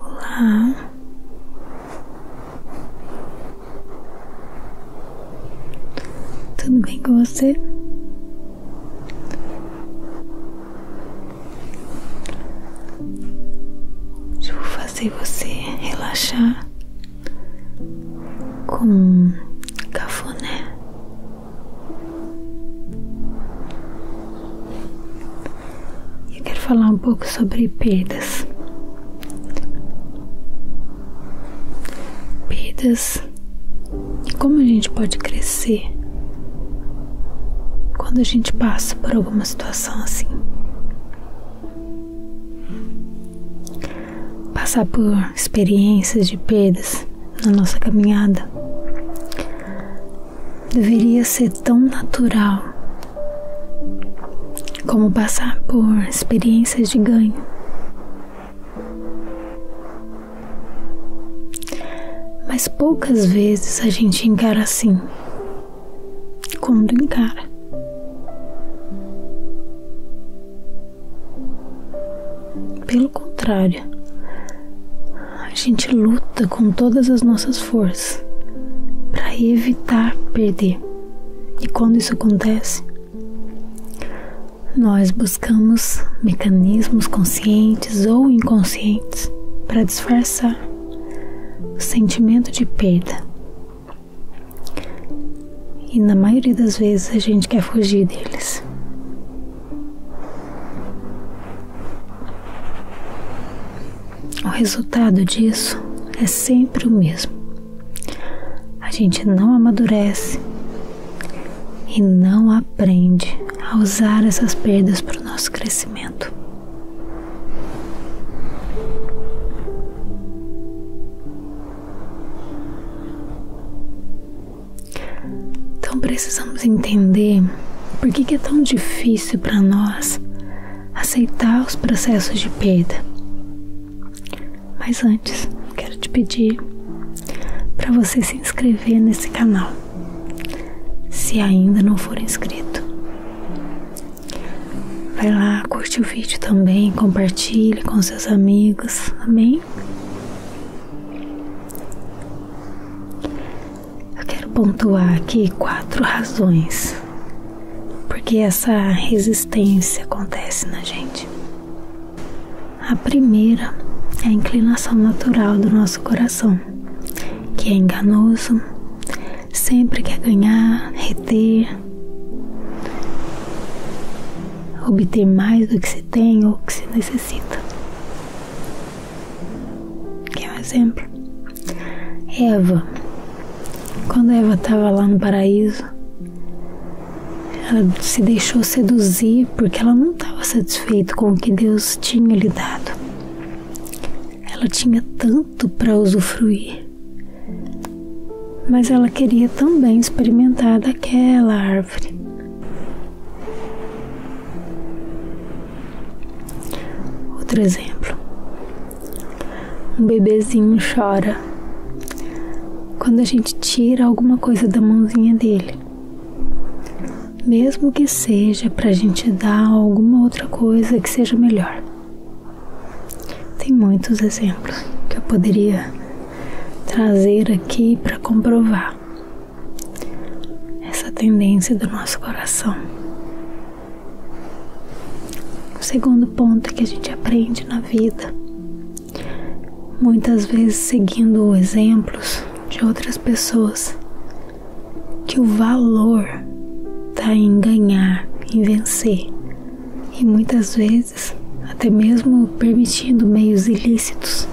Olá. Tudo bem com você? vou fazer você relaxar como um cafuné. Eu quero falar um pouco sobre pedras pedras e como a gente pode crescer quando a gente passa por alguma situação assim. Passar por experiências de perdas na nossa caminhada deveria ser tão natural como passar por experiências de ganho. Mas poucas vezes a gente encara assim quando encara. Pelo contrário, a gente luta com todas as nossas forças para evitar perder. E quando isso acontece, nós buscamos mecanismos conscientes ou inconscientes para disfarçar o sentimento de perda e na maioria das vezes a gente quer fugir deles. O resultado disso é sempre o mesmo. A gente não amadurece e não aprende a usar essas perdas para o nosso crescimento. Então precisamos entender por que, é tão difícil para nós aceitar os processos de perda. Mas antes, quero te pedir para você se inscrever nesse canal, se ainda não for inscrito. Vai lá, curte o vídeo também, compartilhe com seus amigos, amém? Eu quero pontuar aqui quatro razões porque essa resistência acontece na gente. A primeira é a inclinação natural do nosso coração, que é enganoso, sempre quer ganhar, reter, obter mais do que se tem ou que se necessita. Quer um exemplo? Eva. Quando Eva estava lá no paraíso, ela se deixou seduzir porque ela não estava satisfeita com o que Deus tinha lhe dado. Ela tinha tanto para usufruir mas ela queria também experimentar daquela árvore. Outro exemplo. Um bebezinho chora quando a gente tira alguma coisa da mãozinha dele mesmo que seja para a gente dar alguma outra coisa que seja melhor. Tem muitos exemplos que eu poderia trazer aqui para comprovar essa tendência do nosso coração. O segundo ponto que a gente aprende na vida, muitas vezes seguindo exemplos de outras pessoas, que o valor está em ganhar, em vencer, e muitas vezes até mesmo permitindo meios ilícitos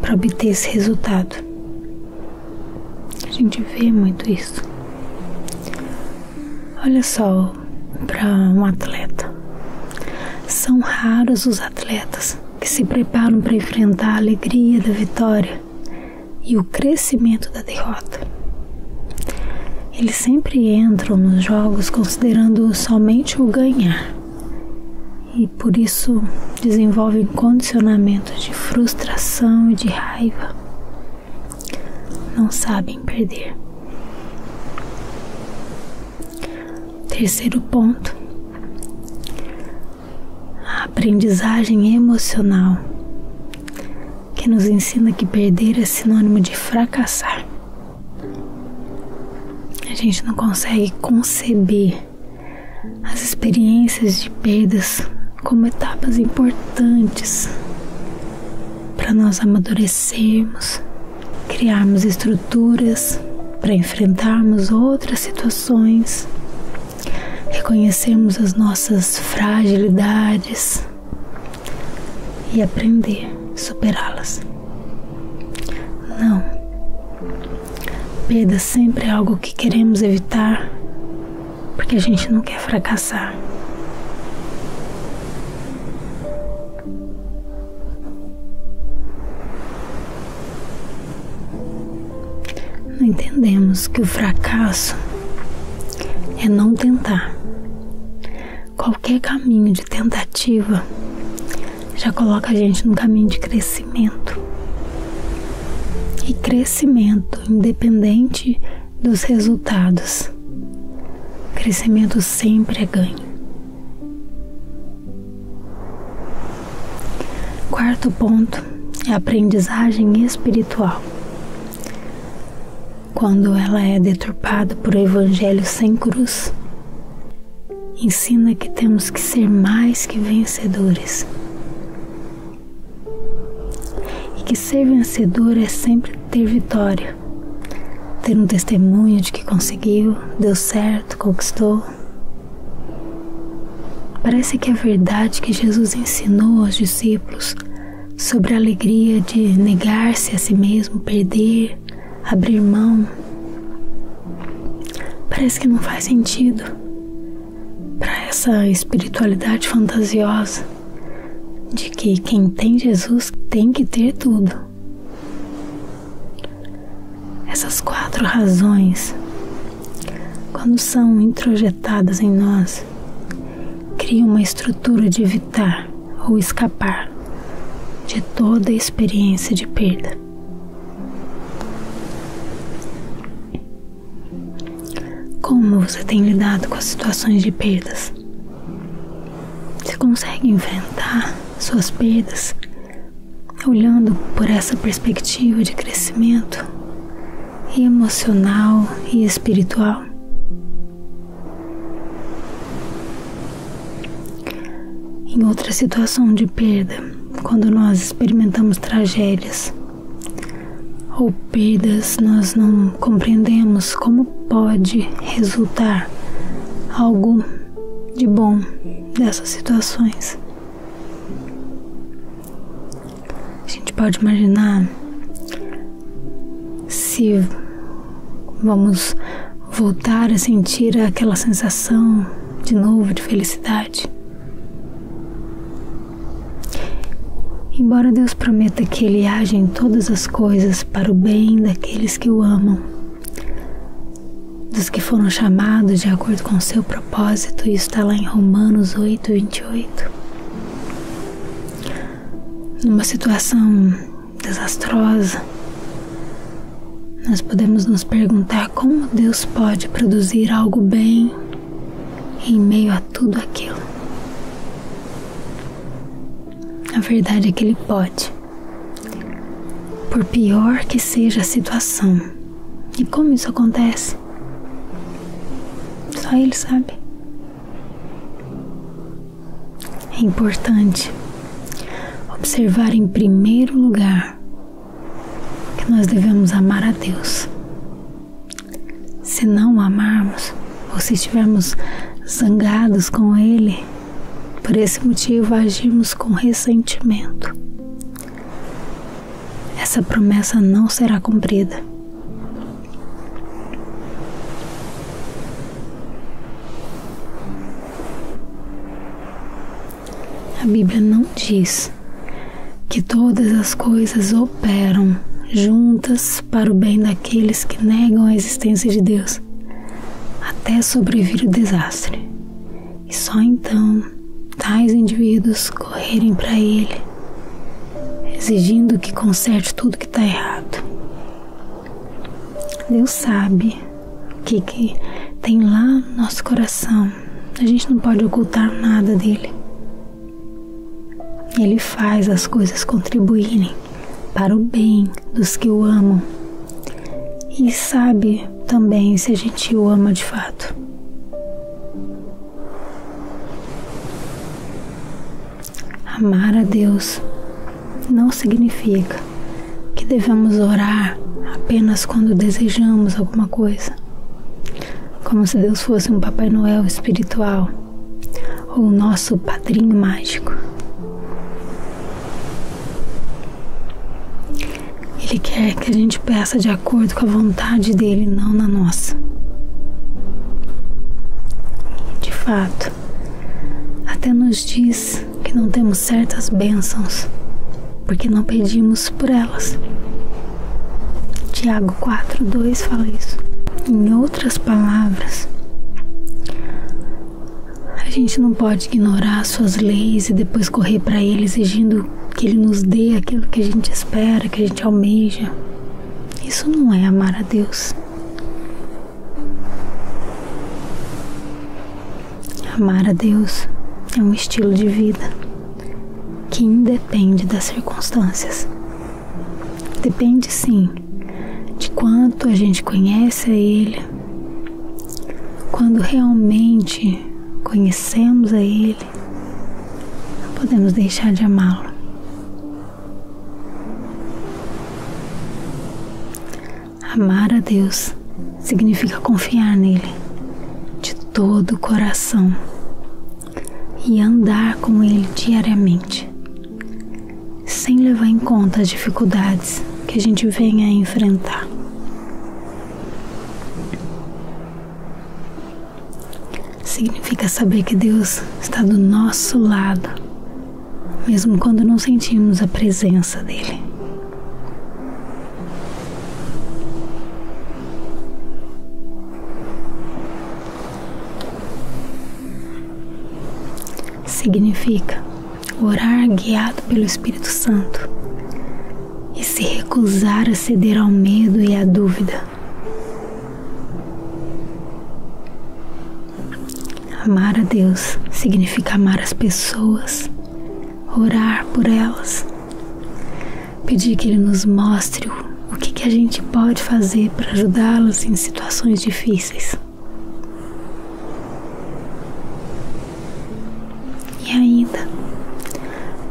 para obter esse resultado. A gente vê muito isso. Olha só para um atleta. São raros os atletas que se preparam para enfrentar a alegria da vitória e o crescimento da derrota. Eles sempre entram nos jogos considerando somente o ganhar e por isso desenvolvem condicionamentos de frustração e de raiva. Não sabem perder. Terceiro ponto: a aprendizagem emocional que nos ensina que perder é sinônimo de fracassar. A gente não consegue conceber as experiências de perdas como etapas importantes para nós amadurecermos, criarmos estruturas para enfrentarmos outras situações, reconhecermos as nossas fragilidades e aprender a superá-las. Não. Perda sempre é algo que queremos evitar porque a gente não quer fracassar. Não entendemos que o fracasso é não tentar. Qualquer caminho de tentativa já coloca a gente no caminho de crescimento. E crescimento independente dos resultados. Crescimento sempre é ganho. Quarto ponto é a aprendizagem espiritual quando ela é deturpada por evangelho sem cruz. Ensina que temos que ser mais que vencedores. E que ser vencedor é sempre ter vitória, ter um testemunho de que conseguiu, deu certo, conquistou. Parece que a é verdade que Jesus ensinou aos discípulos sobre a alegria de negar-se a si mesmo, perder, abrir mão. Parece que não faz sentido para essa espiritualidade fantasiosa de que quem tem Jesus tem que ter tudo. Essas quatro razões, quando são introjetadas em nós, cria uma estrutura de evitar ou escapar de toda experiência de perda. Como você tem lidado com as situações de perdas? Você consegue enfrentar suas perdas olhando por essa perspectiva de crescimento emocional e espiritual? Em outra situação de perda, quando nós experimentamos tragédias ou perdas, nós não compreendemos como pode resultar algo de bom dessas situações. A gente pode imaginar se vamos voltar a sentir aquela sensação de novo de felicidade. Embora Deus prometa que Ele age em todas as coisas para o bem daqueles que o amam, dos que foram chamados de acordo com o seu propósito, isso está lá em Romanos 8, 28 numa situação desastrosa, nós podemos nos perguntar como Deus pode produzir algo bem em meio a tudo aquilo. A verdade é que Ele pode, por pior que seja a situação. E como isso acontece? Só Ele sabe. É importante observar em primeiro lugar que nós devemos amar a Deus. Se não amarmos, ou se estivermos zangados com Ele, por esse motivo agirmos com ressentimento. Essa promessa não será cumprida. A Bíblia não diz que todas as coisas operam juntas para o bem daqueles que negam a existência de Deus, até sobrevir o desastre. E só então tais indivíduos correrem para Ele exigindo que conserte tudo que está errado. Deus sabe o que, tem lá no nosso coração. A gente não pode ocultar nada dele. Ele faz as coisas contribuírem para o bem dos que o amam. E sabe também se a gente o ama de fato. Amar a Deus não significa que devemos orar apenas quando desejamos alguma coisa, como se Deus fosse um Papai Noel espiritual ou o nosso padrinho mágico. Ele quer que a gente peça de acordo com a vontade dele, não na nossa. De fato, até nos diz que não temos certas bênçãos porque não pedimos por elas. Tiago 4:2 fala isso. Em outras palavras, a gente não pode ignorar suas leis e depois correr para ele exigindo que ele nos dê aquilo que a gente espera, que a gente almeja. Isso não é amar a Deus. Amar a Deus é um estilo de vida que independe das circunstâncias. Depende sim de quanto a gente conhece a Ele, quando realmente conhecemos a Ele, podemos deixar de amá-lo. Amar a Deus significa confiar nele de todo o coração e andar com ele diariamente, sem levar em conta as dificuldades que a gente venha a enfrentar. Significa saber que Deus está do nosso lado mesmo quando não sentimos a presença dele. Significa orar guiado pelo Espírito Santo e se recusar a ceder ao medo e à dúvida. Amar a Deus significa amar as pessoas, orar por elas, pedir que Ele nos mostre o que, a gente pode fazer para ajudá las em situações difíceis. E ainda,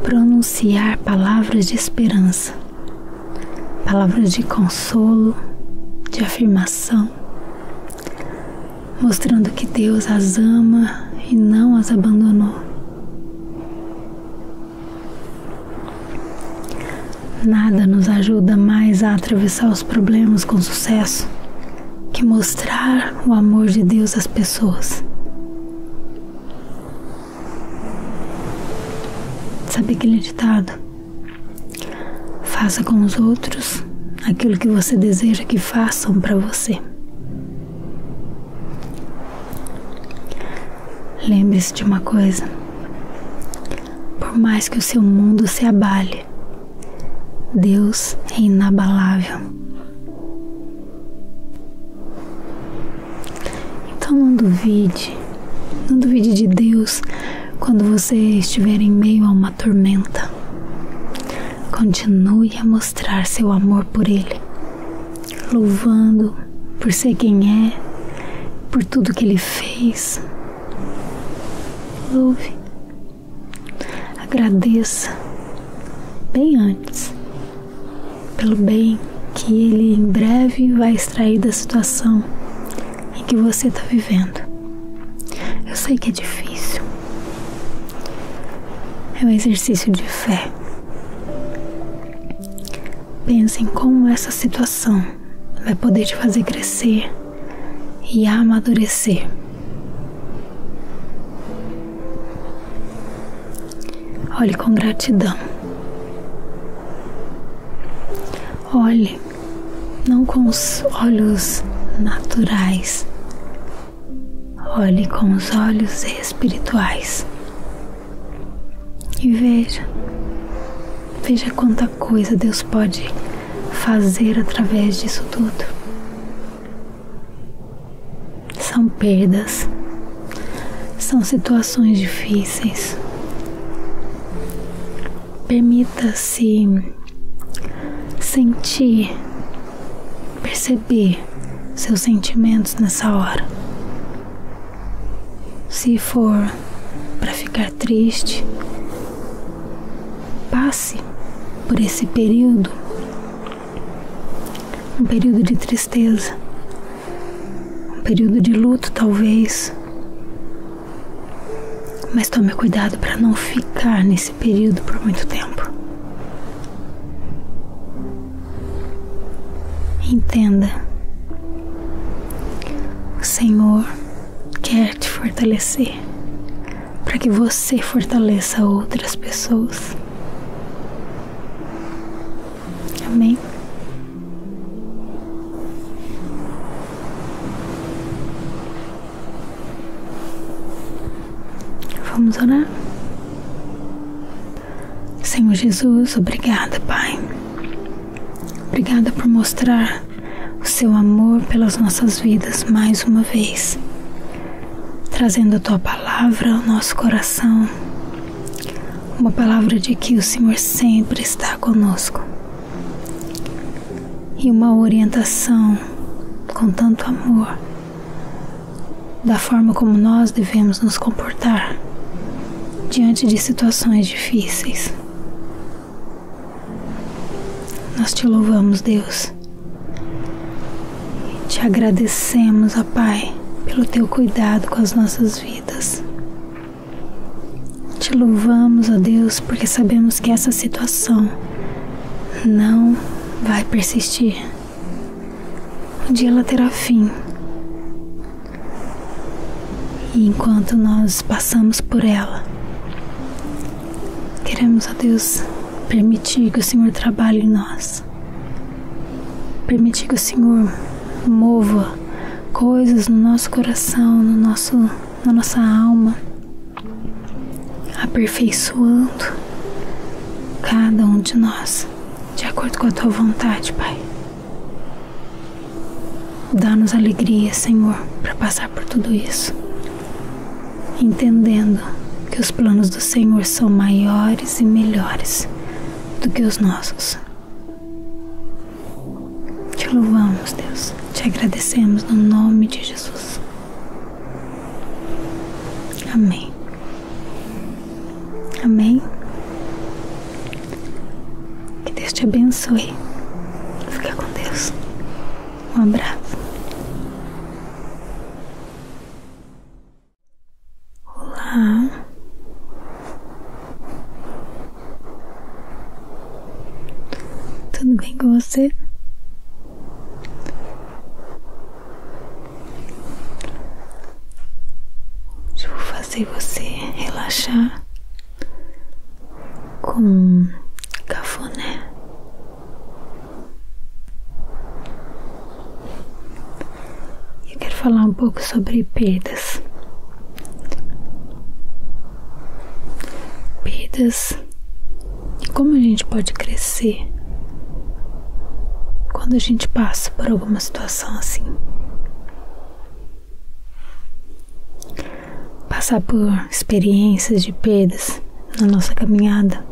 pronunciar palavras de esperança palavras de consolo, de afirmação, mostrando que Deus as ama e não as abandonou. Nada nos ajuda mais a atravessar os problemas com sucesso que mostrar o amor de Deus às pessoas. Sabe aquele ditado? Faça com os outros aquilo que você deseja que façam para você. Lembre-se de uma coisa: por mais que o seu mundo se abale, Deus é inabalável. Então não duvide não duvide de Deus quando você estiver em meio a uma tormenta. Continue a mostrar seu amor por Ele, louvando por ser quem é, por tudo que Ele fez. Louve, agradeça, bem antes, pelo bem que Ele em breve vai extrair da situação em que você está vivendo. Eu sei que é difícil. É um exercício de fé. Pense em como essa situação vai poder te fazer crescer e amadurecer. Olhe com gratidão. Olhe não com os olhos naturais, olhe com os olhos espirituais e veja, veja quanta coisa Deus pode fazer através disso tudo. São perdas, são situações difíceis, Permita-se sentir, perceber seus sentimentos nessa hora. Se for para ficar triste, passe por esse período um período de tristeza, um período de luto, talvez, mas tome cuidado para não ficar nesse período por muito tempo. Entenda. O Senhor quer te fortalecer para que você fortaleça outras pessoas. Amém. Vamos orar? Senhor Jesus, obrigada, Pai. Obrigada por mostrar o seu amor pelas nossas vidas mais uma vez, trazendo a tua palavra ao nosso coração. Uma palavra de que o Senhor sempre está conosco e uma orientação com tanto amor da forma como nós devemos nos comportar diante de situações difíceis. Nós te louvamos, Deus. Te agradecemos, Pai, pelo teu cuidado com as nossas vidas. Te louvamos, ó Deus, porque sabemos que essa situação não vai persistir. Um dia ela terá fim. E enquanto nós passamos por ela, queremos, ó Deus, permitir que o Senhor trabalhe em nós. Permitir que o Senhor mova coisas no nosso coração, no nosso na nossa alma, aperfeiçoando cada um de nós, de acordo com a tua vontade, Pai. Dá-nos alegria, Senhor, para passar por tudo isso, entendendo que os planos do Senhor são maiores e melhores do que os nossos. Te louvamos, Deus. Te agradecemos no nome de Jesus. Amém. Amém. Que Deus te abençoe. Fica com Deus. Um abraço. Olá. Tudo bem com você? Eu vou fazer você relaxar com um cafuné. Eu quero falar um pouco sobre pedras pedras e como a gente pode crescer quando a gente passa por alguma situação assim. Passar por experiências de pedras na nossa caminhada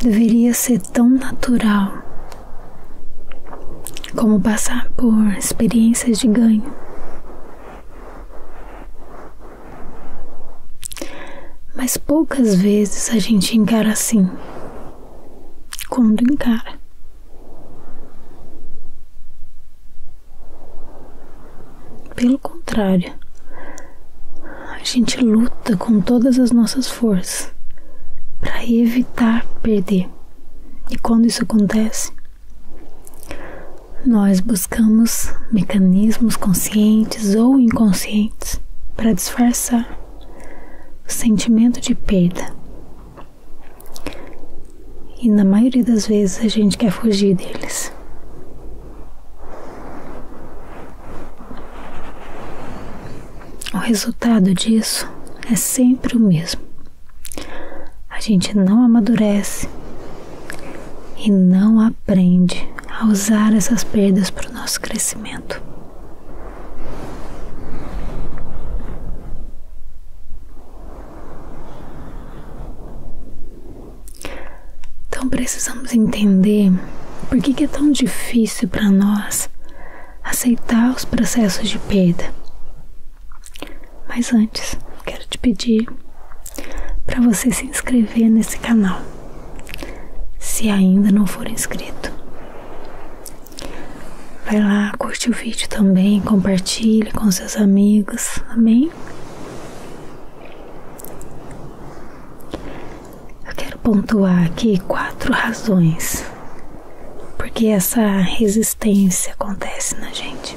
deveria ser tão natural como passar por experiências de ganho. Mas poucas vezes a gente encara assim. Quando encara. Pelo contrário, a gente luta com todas as nossas forças para evitar perder. E quando isso acontece, nós buscamos mecanismos conscientes ou inconscientes para disfarçar o sentimento de perda. E na maioria das vezes a gente quer fugir deles. O resultado disso é sempre o mesmo: a gente não amadurece e não aprende a usar essas perdas para o nosso crescimento. Então precisamos entender por que, é tão difícil para nós aceitar os processos de perda mas antes, quero te pedir para você se inscrever nesse canal, se ainda não for inscrito. Vai lá, curte o vídeo também, compartilhe com seus amigos, amém? Eu quero pontuar aqui quatro razões porque essa resistência resistência acontece na gente.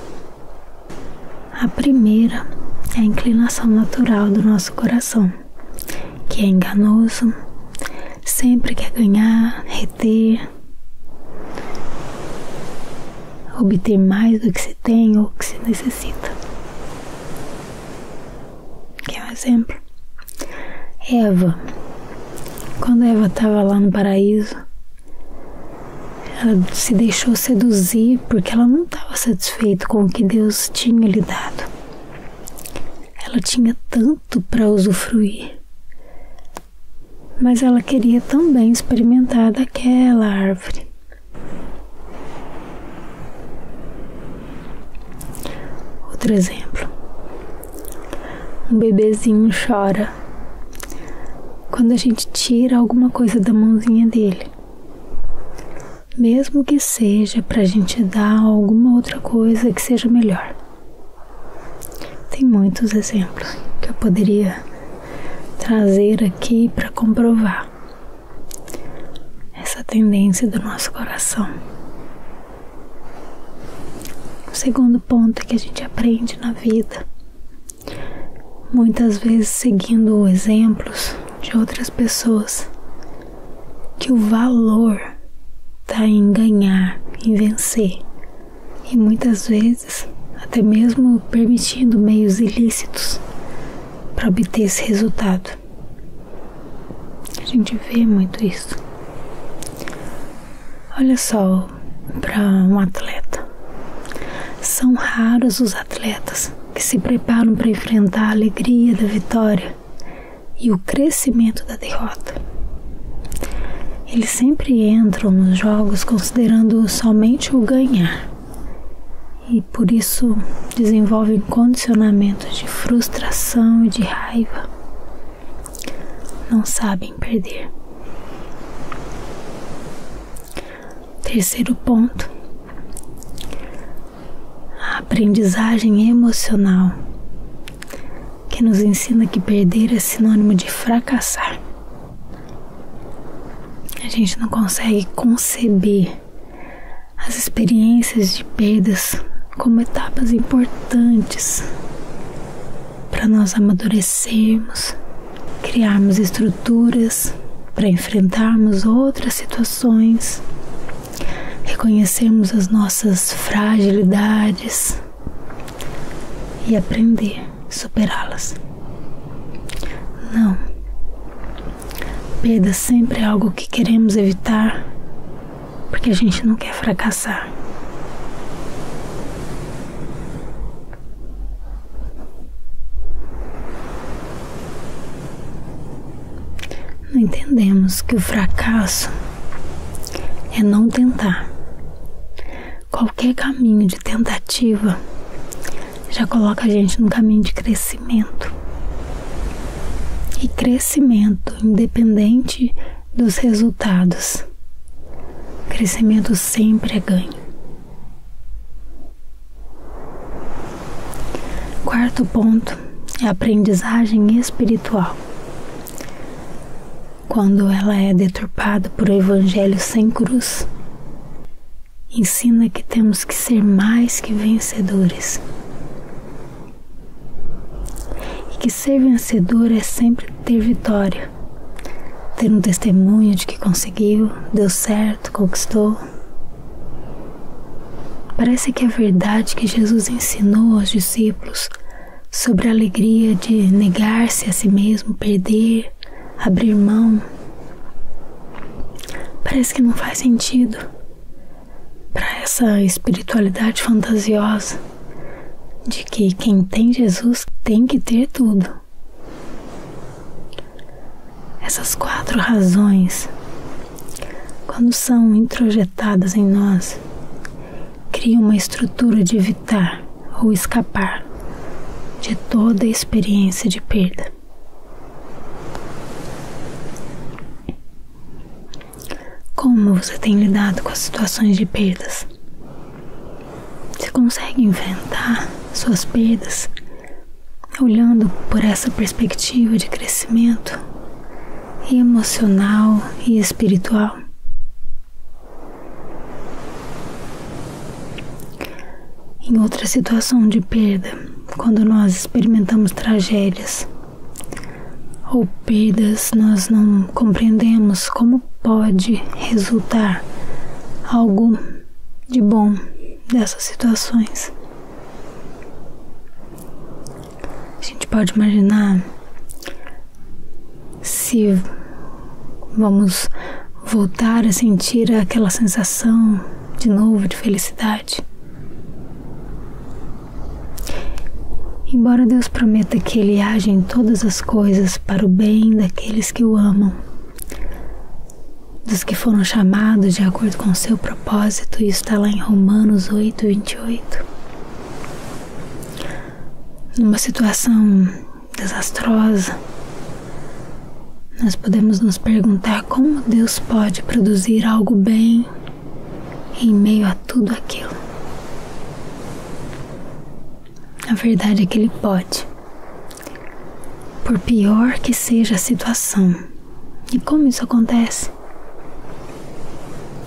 A primeira é a inclinação natural do nosso coração, que é enganoso, sempre quer ganhar, reter, obter mais do que se tem ou que se necessita. Quer um exemplo? Eva. Quando Eva estava lá no paraíso, ela se deixou seduzir porque ela não estava satisfeita com o que Deus tinha lhe dado. Ela tinha tanto para usufruir, mas ela queria também experimentar daquela árvore. Outro exemplo um bebezinho chora quando a gente tira alguma coisa da mãozinha dele. Mesmo que seja para a gente dar alguma outra coisa que seja melhor. Tem muitos exemplos que eu poderia trazer aqui para comprovar essa tendência do nosso coração. O segundo ponto que a gente aprende na vida muitas vezes seguindo exemplos de outras pessoas, que o valor está em ganhar, em vencer. E muitas vezes, até mesmo permitindo meios ilícitos para obter esse resultado. A gente vê muito isso. Olha só, para um atleta, são raros os atletas que se preparam para enfrentar a alegria da vitória e o crescimento da derrota. Eles sempre entram nos jogos considerando somente o ganhar e por isso desenvolvem condicionamentos de frustração e de raiva não sabem perder. Terceiro ponto: a aprendizagem emocional, que nos ensina que perder é sinônimo de fracassar. A gente não consegue conceber as experiências de perdas como etapas importantes para nós amadurecermos criarmos estruturas para enfrentarmos outras situações, reconhecermos as nossas fragilidades e aprender a superá-las. Não. Perda sempre é algo que queremos evitar porque a gente não quer fracassar. Não entendemos que o fracasso é não tentar. Qualquer caminho de tentativa já coloca a gente no caminho de crescimento. E crescimento, independente dos resultados, Crescimento sempre é ganho. Quarto ponto é aprendizagem espiritual. Quando ela é deturpada por evangelho sem cruz, ensina que temos que ser mais que vencedores. E que ser vencedor é sempre ter vitória ter um testemunho de que conseguiu, deu certo, conquistou. Parece que a é verdade que Jesus ensinou aos discípulos sobre a alegria de negar-se a si mesmo, perder, abrir mão, parece que não faz sentido para essa espiritualidade fantasiosa de que quem tem Jesus tem que ter tudo. Essas quatro razões, quando são introjetadas em nós, criam uma estrutura de evitar ou escapar de toda experiência de perda. Como você tem lidado com as situações de perdas? Você consegue enfrentar suas perdas olhando por essa perspectiva de crescimento emocional e espiritual? Em outra situação de perda, quando nós experimentamos tragédias ou perdas, nós não compreendemos como pode resultar algo de bom dessas situações. A gente pode imaginar se vamos voltar a sentir aquela sensação de novo de felicidade. Embora Deus prometa que Ele age em todas as coisas para o bem daqueles daqueles que o amam, dos que foram chamados de acordo com o seu propósito, isso está lá em Romanos 8, 28. Numa situação desastrosa, nós podemos nos perguntar como Deus pode produzir algo bem em meio a tudo aquilo. A verdade é que Ele pode por pior que seja a situação. E como isso acontece?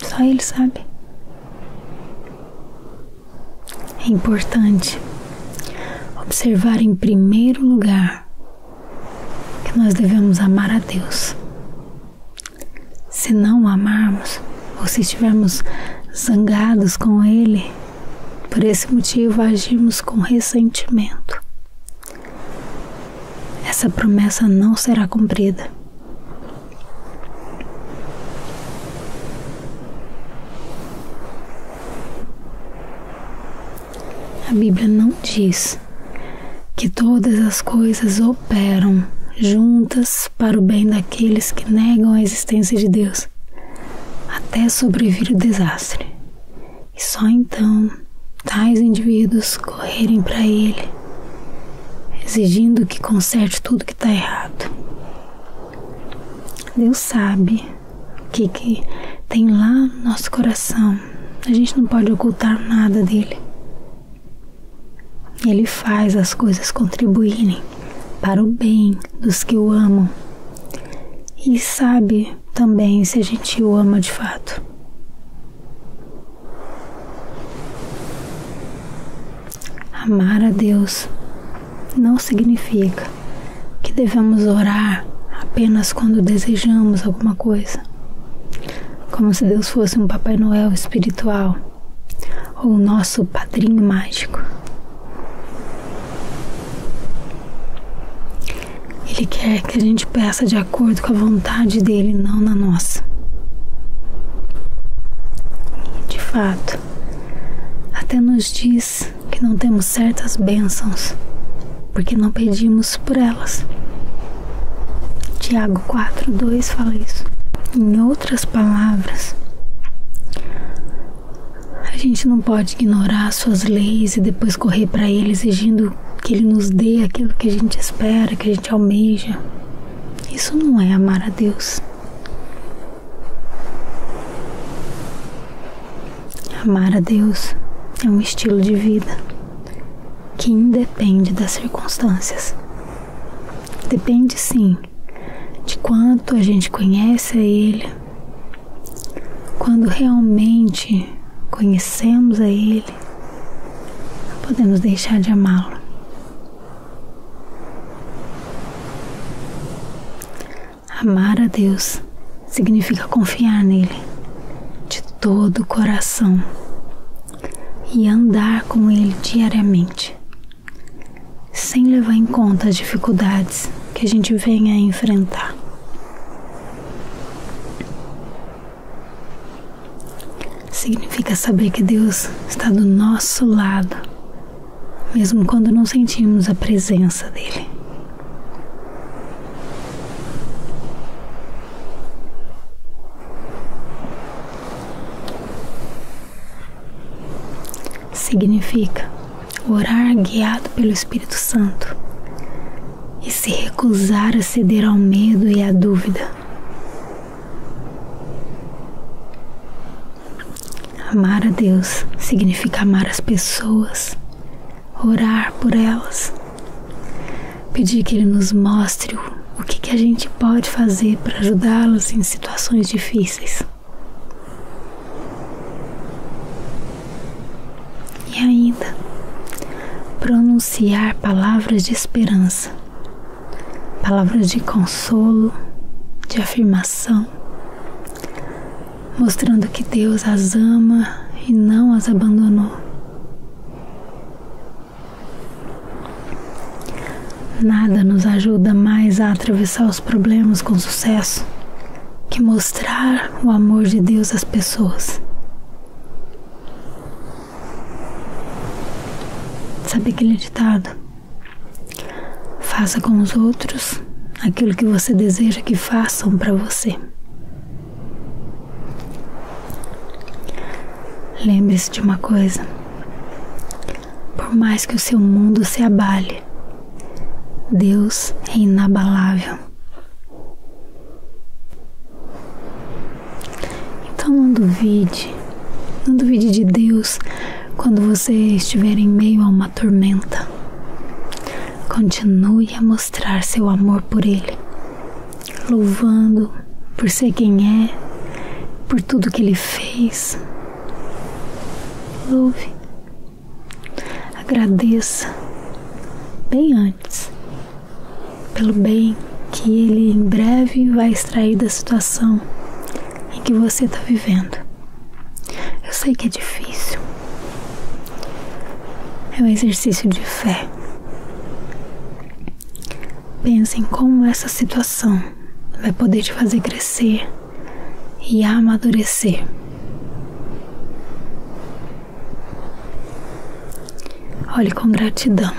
Só ele sabe. É importante observar em primeiro lugar que nós devemos amar a Deus. Se não amarmos, ou se estivermos zangados com Ele, por esse motivo, agimos com ressentimento. Essa promessa não será cumprida. A Bíblia não diz que todas as coisas operam juntas para o bem daqueles que negam a existência de Deus, até sobrevir o desastre, e só então tais indivíduos correrem para Ele, exigindo que conserte tudo que está errado. Deus sabe o que, que tem lá no nosso coração. A gente não pode ocultar nada dele. Ele faz as coisas contribuírem para o bem dos que o amam. E sabe também se a gente o ama de fato. Amar a Deus não significa que devemos orar apenas quando desejamos alguma coisa, como se Deus fosse um Papai Noel espiritual ou o nosso padrinho mágico. Ele quer que a gente peça de acordo com a vontade dele, não na nossa. de fato, até nos diz que não temos certas bênçãos porque não pedimos por elas. Tiago 4,2 fala isso. Em outras palavras, a gente não pode ignorar suas leis e depois correr para ele exigindo que ele nos dê aquilo que a gente espera, que a gente almeja. Isso não é amar a Deus. Amar a Deus é um estilo de vida que independe das circunstâncias. Depende sim de quanto a gente conhece a Ele, quando realmente conhecemos a Ele, podemos deixar de amá-lo. Amar a Deus significa confiar nele de todo o coração e andar com ele diariamente sem levar em conta as dificuldades que a gente vem a enfrentar. Significa saber que Deus está do nosso lado, mesmo quando não sentimos a presença dele significa orar guiado pelo Espírito Santo e se recusar a ceder ao medo e à dúvida. Amar a Deus significa amar as pessoas, orar por elas, pedir que Ele nos mostre o que, que a gente pode fazer para ajudá las em situações difíceis. E ainda pronunciar palavras de esperança, palavras de consolo, de afirmação, mostrando que Deus as ama e não as abandonou. Nada nos ajuda mais a atravessar atravessar os problemas com sucesso que mostrar o amor de Deus às pessoas. Sabe aquele ditado? Faça com os outros aquilo que você deseja que façam para você. Lembre-se de uma coisa: por mais que o seu mundo se abale. Deus é inabalável. Então não duvide, não duvide de Deus quando você estiver em meio a uma tormenta. Continue a mostrar seu amor por Ele, louvando por ser quem é, por tudo que Ele fez. Louve Agradeça bem antes pelo bem que ele em breve vai extrair da situação em que você está vivendo. Eu sei que é difícil, é um exercício de fé. Pense em como essa situação vai poder te fazer crescer e amadurecer. Olhe com gratidão.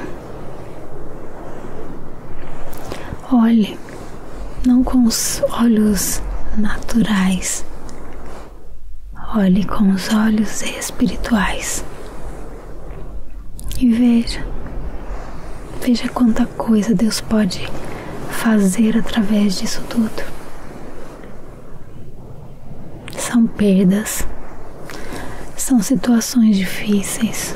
Olhe não com os olhos naturais, olhe com os olhos espirituais e veja, veja quanta coisa Deus pode fazer através disso tudo. São perdas, são situações difíceis.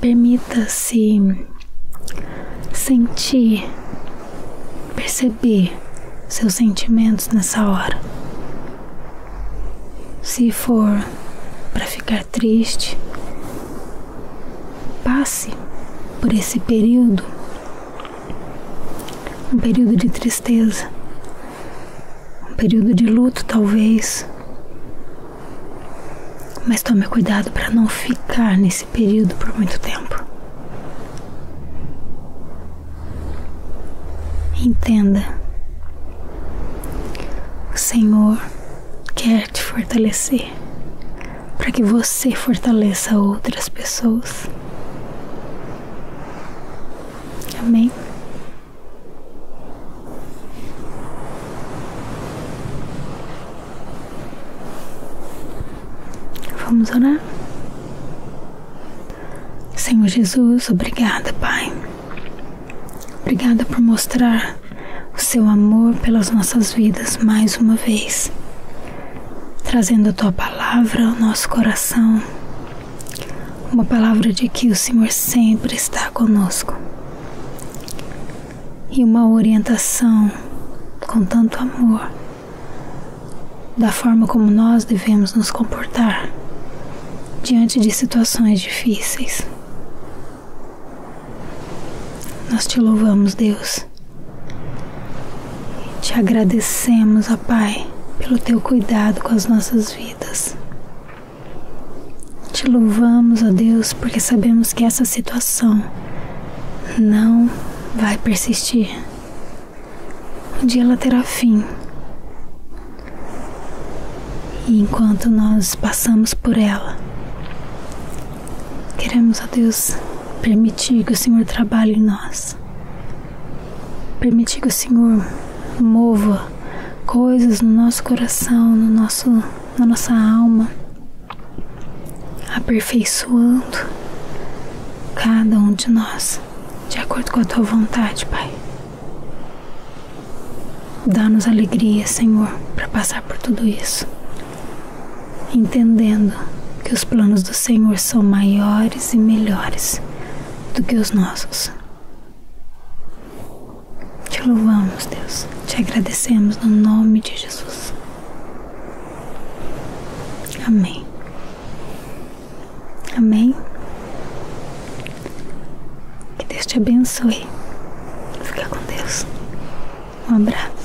Permita-se sentir, perceber seus sentimentos nessa hora. Se for para ficar triste, passe por esse período, um período de tristeza, um período de luto, talvez. Mas tome cuidado para não ficar nesse período por muito tempo. Entenda, o Senhor quer quer te fortalecer, para que você fortaleça outras pessoas. Amém. Vamos orar? Senhor Jesus, obrigada, Pai. Obrigada por mostrar o seu amor pelas nossas vidas mais uma vez, trazendo a tua palavra ao nosso coração, uma palavra de que o Senhor sempre está conosco e uma orientação com tanto amor da forma como nós devemos nos comportar diante de situações difíceis. Nós te louvamos, Deus. Te agradecemos, Pai, pelo teu cuidado com as nossas vidas. Te louvamos, Deus, porque sabemos que essa situação não vai persistir. Um dia ela terá fim. E enquanto nós passamos por ela, Queremos, ó Deus, permitir que o Senhor trabalhe em nós. Permitir que o Senhor mova coisas no nosso coração, no nosso, na nossa alma, aperfeiçoando cada um de nós, de acordo com a tua vontade, Pai. Dá-nos alegria, Senhor, para passar por tudo isso entendendo que os planos do Senhor são maiores e melhores do que os nossos. Te louvamos, Deus, te agradecemos no nome de Jesus. Amém. Amém. Que Deus te abençoe. Fica com Deus. Um abraço.